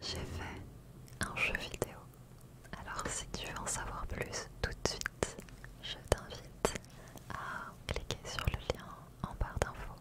J'ai fait un jeu vidéo. Alors si tu veux en savoir plus tout de suite, je t'invite à cliquer sur le lien en barre d'infos.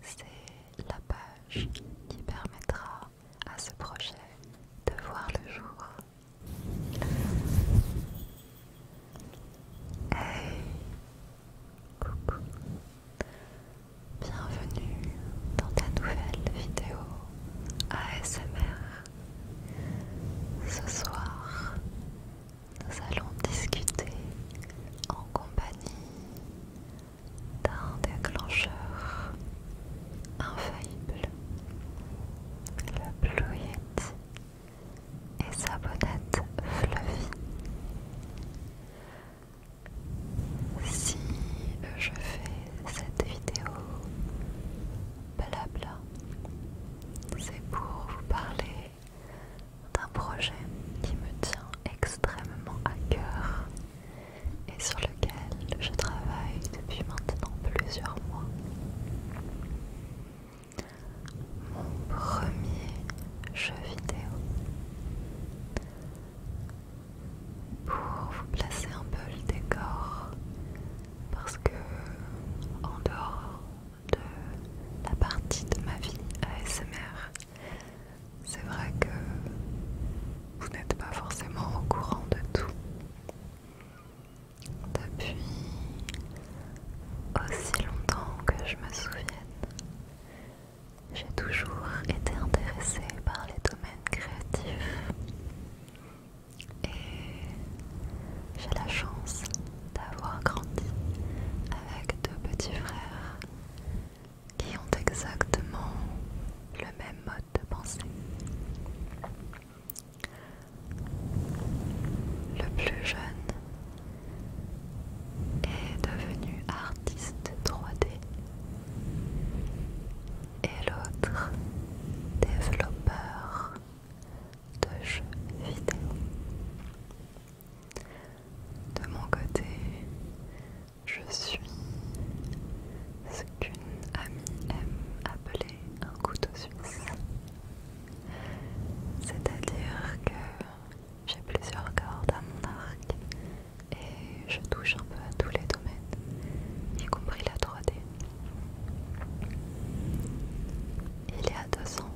C'est la page qui permettra à ce projet de voir le jour. Hey, coucou. Bienvenue dans ta nouvelle vidéo ASMR. Ce soir, nous allons discuter en compagnie d'un déclencheur infaillible, le Blue Yeti et sa bonnette fluffy. Si euh, je fais cette vidéo blabla, c'est pour vous parler d'un projet qui me tient extrêmement à cœur et sur lequel je travaille depuis maintenant plusieurs mois. Mon premier jeu vidéo pour vous placer un peu le décor parce que en dehors de la partie de ma vie ASMR, c'est vrai que vous n'êtes pas forcément au courant de tout. Depuis aussi longtemps que je me souvienne, j'ai toujours été intéressée par les domaines créatifs et j'ai la chance d'avoir grandi avec deux petits frères qui ont exactement le même mode de pensée. Le plus jeune est devenu artiste 3D et l'autre développeur de jeux vidéo. De mon côté, je suis ce qu'une amie aime appeler un couteau suisse. C'est-à-dire que j'ai plusieurs cordes à mon arc et je touche un peu à tous les domaines, y compris la 3D. Il y a deux ans,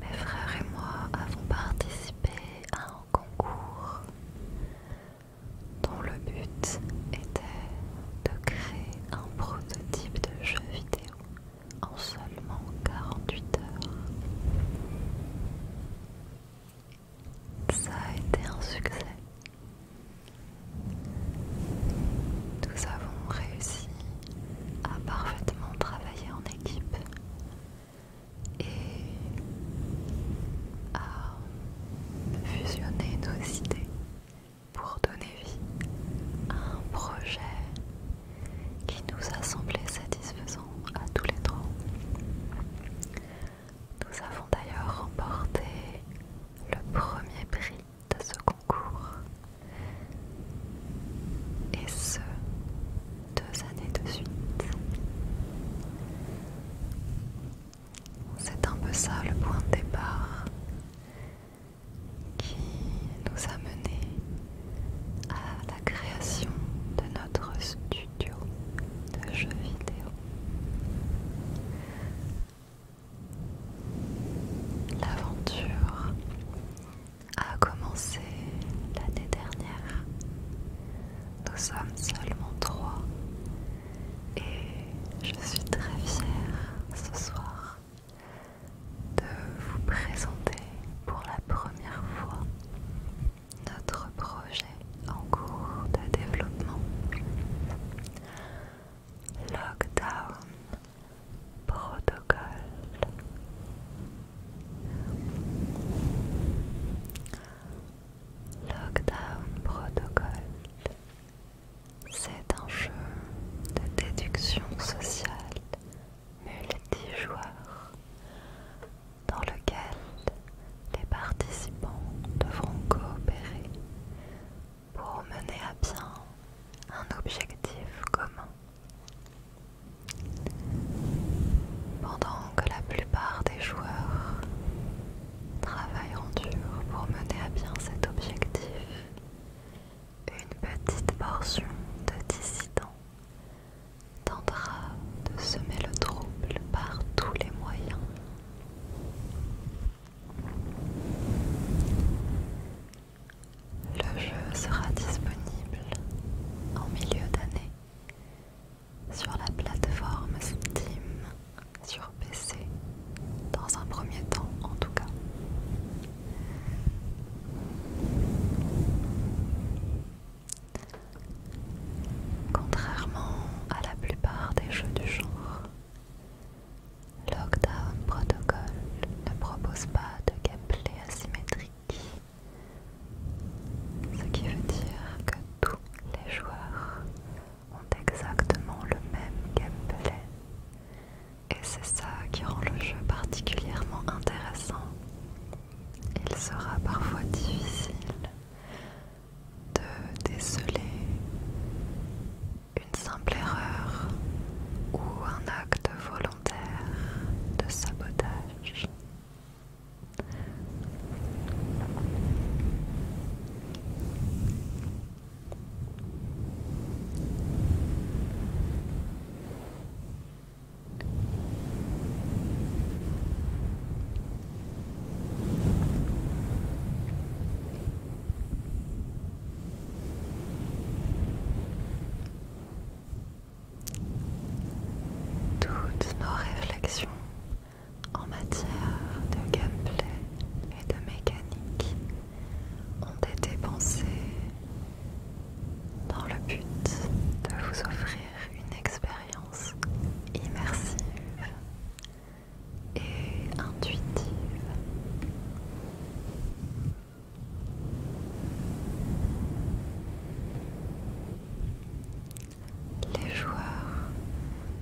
mes frères et moi avons participé à un concours dont le but était de créer un prototype de jeu vidéo en seulement 48 heures. Ça a été un succès. Nous avons réussi à parfaitement travailler en équipe et à fusionner nos idées pour donner vie à un projet qui nous a semblé satisfaisant à tous les trois. Nous avons d'ailleurs remporté le premier prix de ce concours et ce deux années de suite. C'est un peu ça le point de départ qui nous a menés à la création de notre studio de jeux vidéo. L'aventure a commencé l'année dernière. Nous sommes seulement trois et je suis très fière ce soir de vous présenter pour la première fois notre projet en cours de développement. Lockdown Protocol Lockdown Protocol, C'est un jeu de déduction sociale multijoueur dans lequel les participants devront coopérer pour mener à bien un objectif commun. Pendant que la plupart des joueurs travaillent dur pour mener à bien cet objectif, une petite portion de dissidents tentera de semer le trouble par tous les moyens. Le jeu sera disponible en milieu d'année sur la plateforme Steam sur PC, dans un premier temps en tout cas. Contrairement à la plupart des jeux du genre, Lockdown Protocol ne propose pas de gameplay asymétrique, ce qui veut dire que tous les joueurs ont exactement le même gameplay et c'est ça qui rend le jeu particulièrement intéressant. Il sera parfois difficile de déceler une simple erreur ou un acte volontaire de sabotage. Toutes nos réflexions en matière de gameplay et de mécanique ont été pensés dans le but de vous offrir une expérience immersive et intuitive. Les joueurs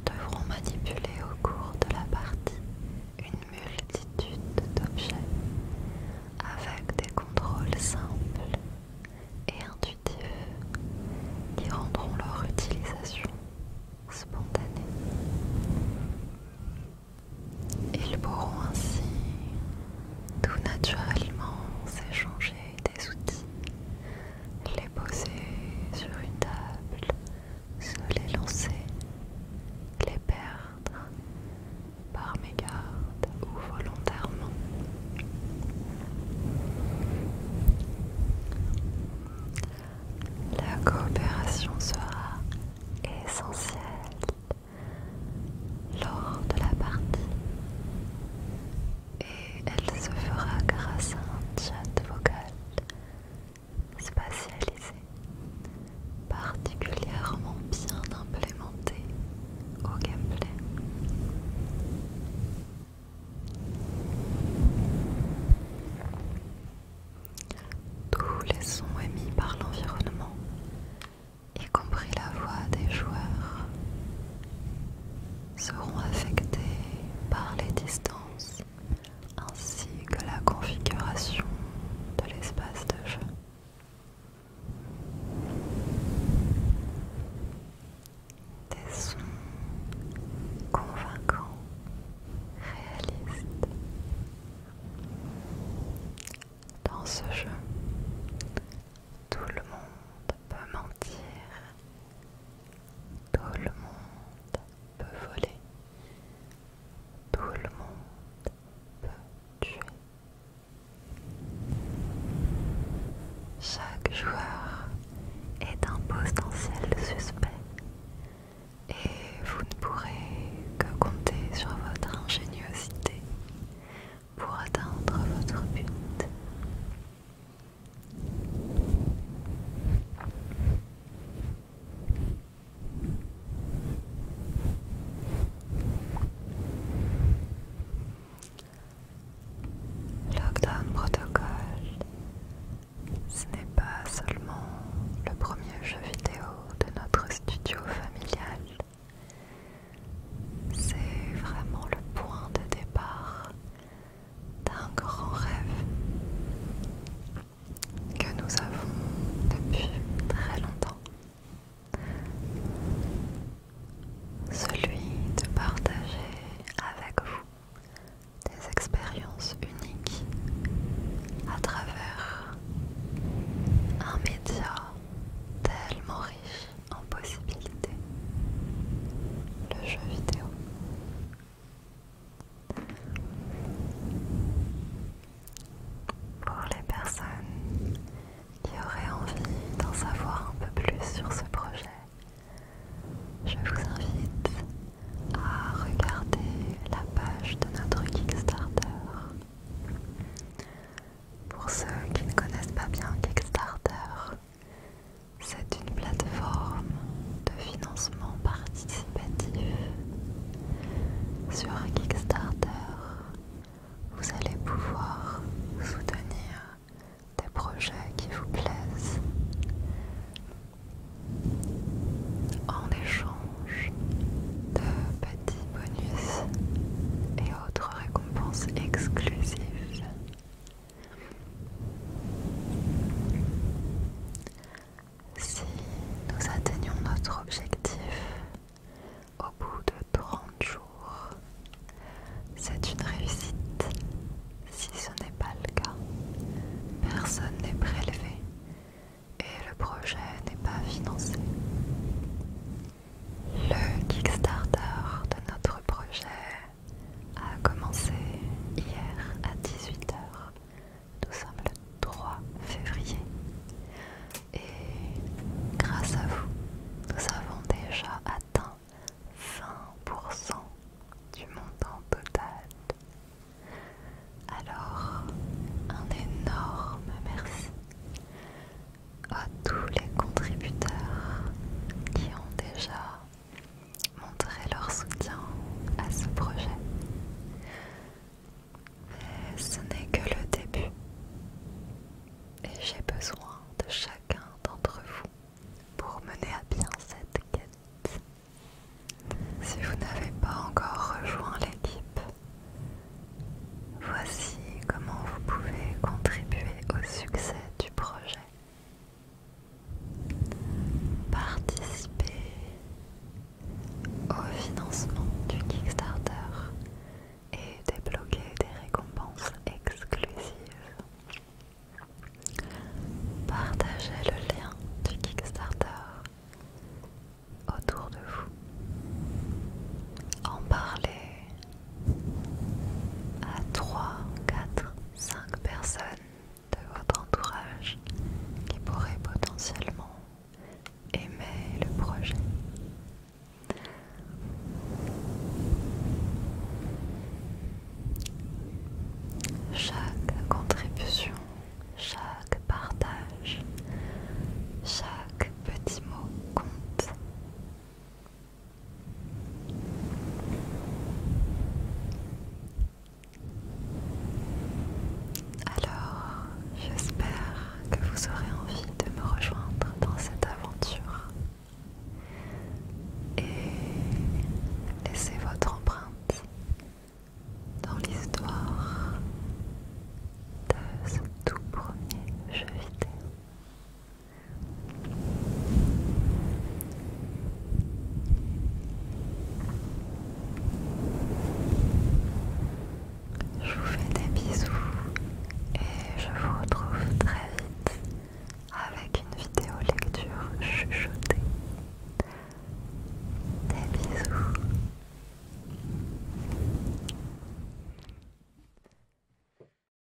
devront manipuler au cours de la partie une multitude d'objets avec des contrôles simples et intuitifs qui rendront leur utilisation spontanée. Ils pourront ainsi tout naturellement s'échanger des outils, les poser sur une table se les lancer, les perdre par mégarde ou volontairement. La coopération sera essentielle lors de la partie et elle se fera grâce à un chat vocal Spatialisé, particulièrement bien implémenté au gameplay. Tous les sons émis par l'environnement, y compris la voix des joueurs, seront affectés par les distances ainsi que la configuration de l'espace de jeu. Des sons convaincants, réalistes. Dans ce jeu, tout le monde peut mentir, tout le monde peut voler, tout le monde peut tuer. Chaque joueur est un potentiel suspect et vous ne pourrez que compter sur votre ingéniosité pour atteindre votre but. Lockdown Protocol, ce n'est pas seulement le premier jeu vidéo de notre studio familial, c'est vraiment le point de départ d'un grand rêve que nous avons depuis très longtemps. Celui de partager avec vous des expériences uniques à travers un média tellement riche en possibilités, le jeu vidéo. Pour les personnes qui auraient envie d'en savoir un peu plus sur ce projet, je vous invite à regarder la page de notre Kickstarter. Pour ceux qui ne connaissent pas bien Kickstarter, c'est une plateforme de financement participatif sur Kickstarter. Vous allez pouvoir soutenir des projets qui vous plaisent. En échange de petits bonus et autres récompenses exclusives, si nous atteignons notre objectif au bout de 30 jours, c'est une réussite. Si ce n'est pas le cas, personne n'est prélevé et le projet n'est pas financé. Le Kickstarter de notre projet a commencé hier à 18h. Nous sommes le 3 février. Et grâce à vous, nous avons déjà atteint 20% du montant total. Alors, un énorme merci à tous les contributeurs qui ont déjà montrer leur soutien à ce projet. Mais ce n'est que le début et j'ai besoin de chacun d'entre vous pour mener à bien cette quête. Si vous n'avez pas encore rejoint l'équipe, voici comment vous pouvez contribuer au succès du projet participer au financement du Kickstarter et débloquer des récompenses exclusives. Partagez le lien du Kickstarter autour de vous. En parler à 3, 4, 5 personnes de votre entourage qui pourraient potentiellement aimer le projet. Chaque contribution, chaque partage, chaque petit mot compte. Alors, j'espère que vous aurez envie de me rejoindre dans cette aventure et laissez votre empreinte dans l'histoire de ce tout premier jeu vidéo. Je vous fais des bisous et je vous retrouve très vite avec une vidéo lecture chuchotée. Des bisous.